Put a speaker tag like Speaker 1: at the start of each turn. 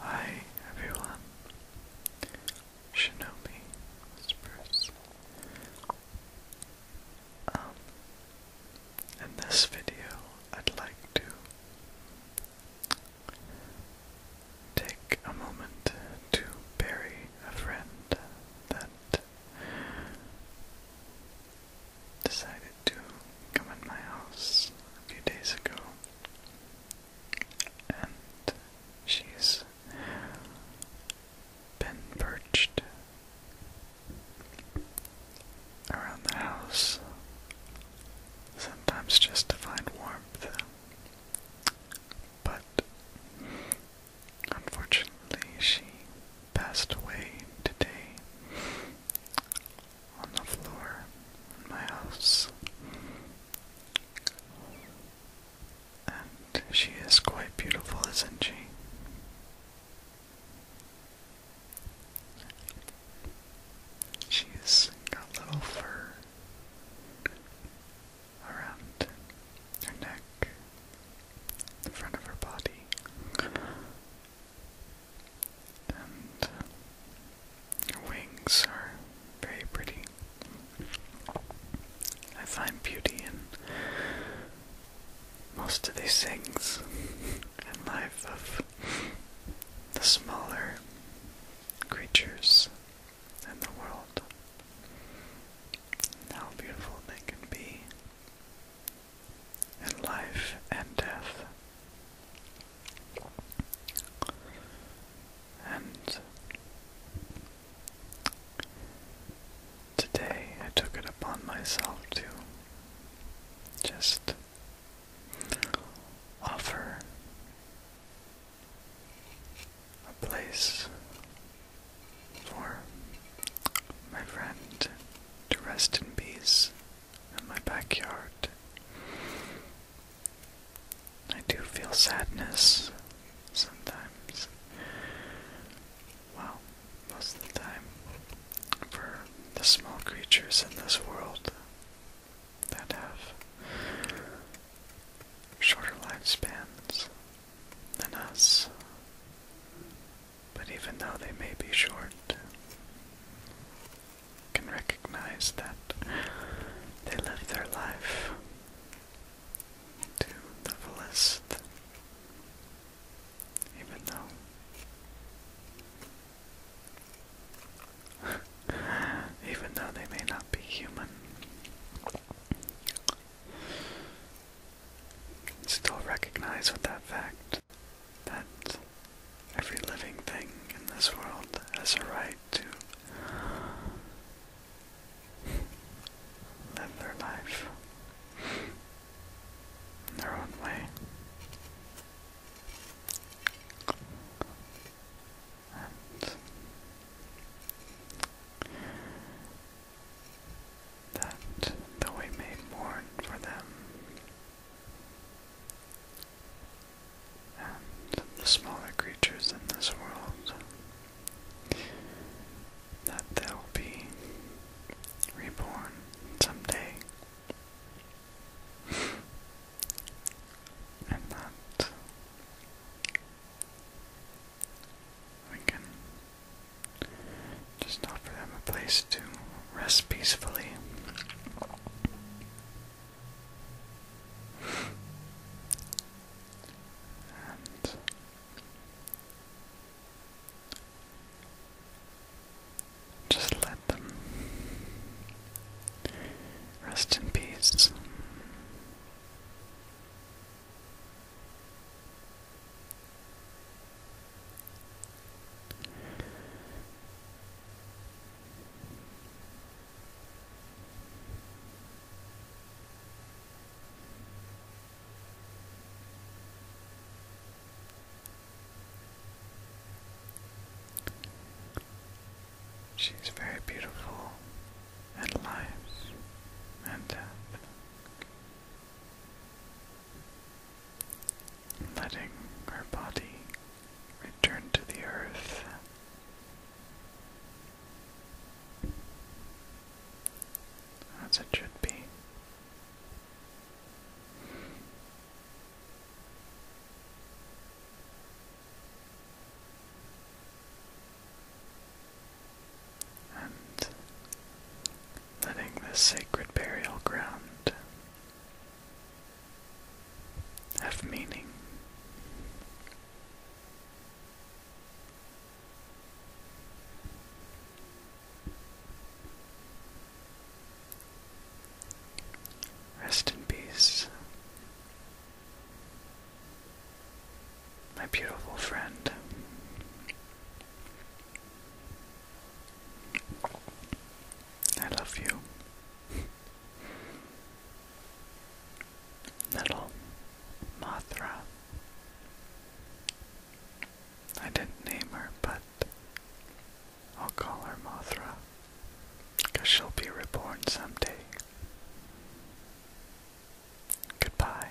Speaker 1: Hi everyone, Shinobi Whispers. Um, in this video, I'd like to take a moment to bury a friend that decided decided to come in my house a few days ago, and she's been perched around the house, sometimes just to find warmth. But unfortunately, she passed away today on the floor in my house. And she is quite beautiful, isn't she? She's got little fur around her neck, the front of her body, and wings are very pretty. I find beauty in most of these things and life of the smaller creatures in the world. how beautiful they can be and life and death. And today I took it upon myself to just offer a place for my friend to rest in peace in my backyard. I do feel sadness sometimes. Well, most of the time, for the small creatures in this world that have shorter lifespans than us but even though they may be short, can recognize that they live their life to the fullest, even though, even though they may not be human. Still recognize with that fact that every living thing in this world has a right to live their life in their own way that though we may mourn for them, and the smaller creatures in this world, that they'll be reborn someday, and that we can just offer them a place to rest peacefully. And just let them rest in peace. She's very beautiful and lives, and death letting her body return to the earth. As it should be. And letting this sacred burial ground have meaning. Rest in peace, my beautiful friend. I love you. Little Mothra. I didn't name her, but I'll call her Mothra. Because she'll be reborn someday. Goodbye.